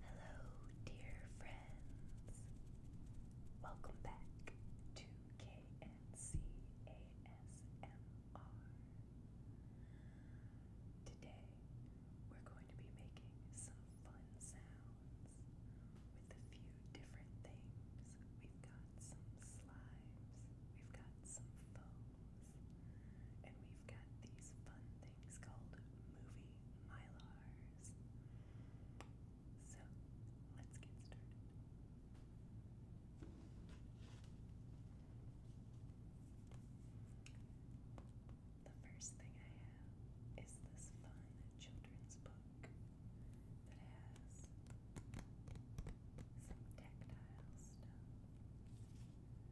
Hello, dear friends. Welcome back to KNC Today, we're going to be making some fun sounds with a few different things. We've got some slimes, we've got some foams, and we got these fun things called movie mylars. So let's get started. The first thing I have is this fun children's book that has some tactile stuff.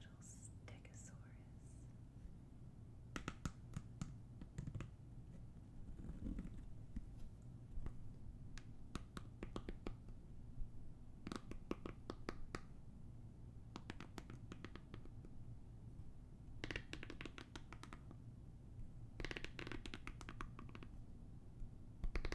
Little stegosaurus. Look the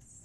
Spinosaurus.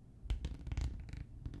The Triceratops.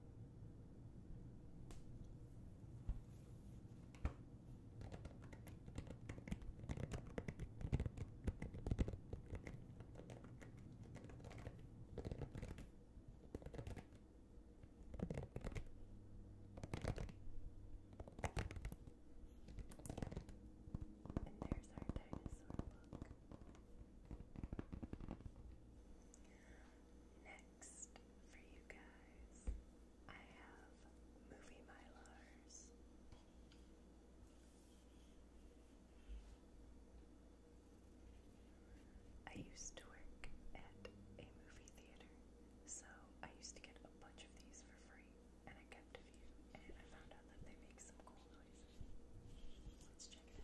And there's our dinosaur book. Next, for you guys. I have movie mylars. I used to work at a movie theater, so I used to get a bunch of these for free, and I kept a few, and I found out that they make some cool noises. Let's check it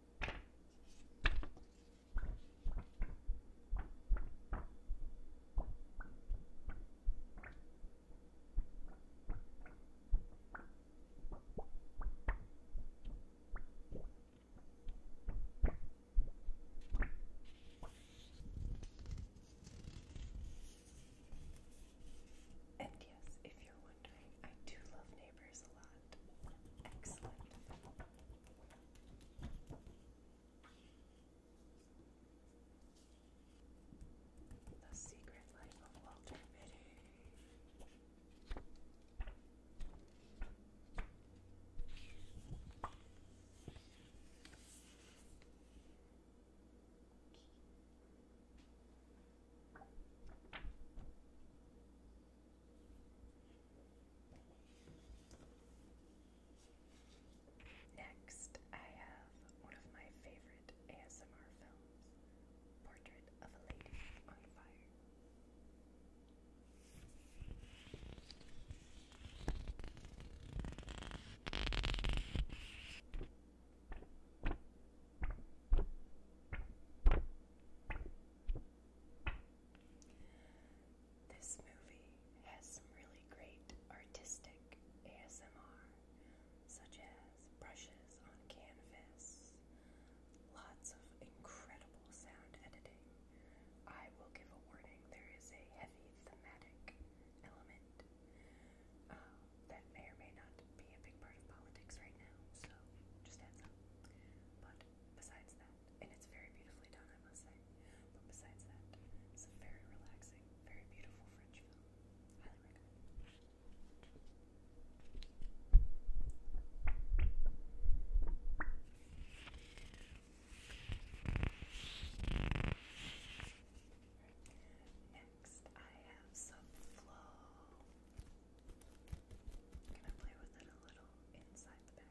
And yes, if you're wondering, I do love nail neighbors a The Secret Life of Walter Mitty. Next, I have one of my favorite ASMR films, Portrait of a Lady on Fire. This movie has some really great artistic ASMR, such as brushes on canvas, lots of incredible sound editing. I will give a warning there is a heavy thematic element. Um, that may or may not be a big part of politics right now, so just heads But besides that, and it's very beautifully done, I must say. But besides that, it's a very relaxing, very beautiful French film. Highly recommend next I have some flow. i play with it a little inside the bag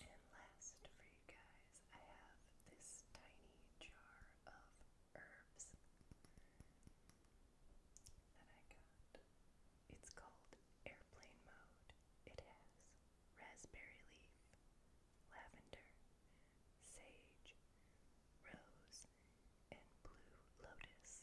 And last for you guys. I have this tiny jar of herbs that I got. It's called Airplane Mode. It has raspberry leaf, lavender, sage, rose, and blue lotus.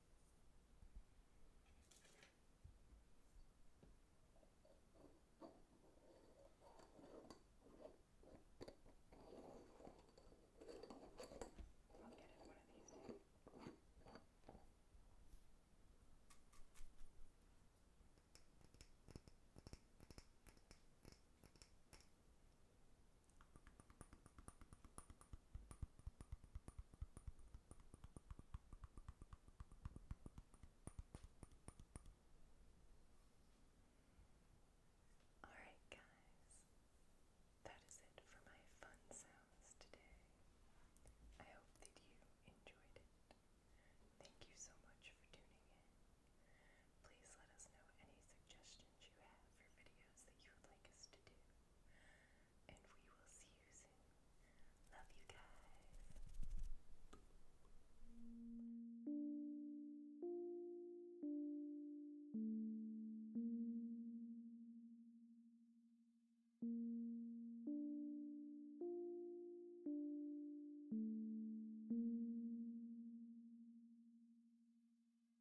I'll get it one of these days. Alright, guys, that is it for my fun sounds today. I hope that you enjoyed it. Thank you so much for tuning in. Please let us know any suggestions you have for videos that you would like us to do and we will see you soon. Love you guys.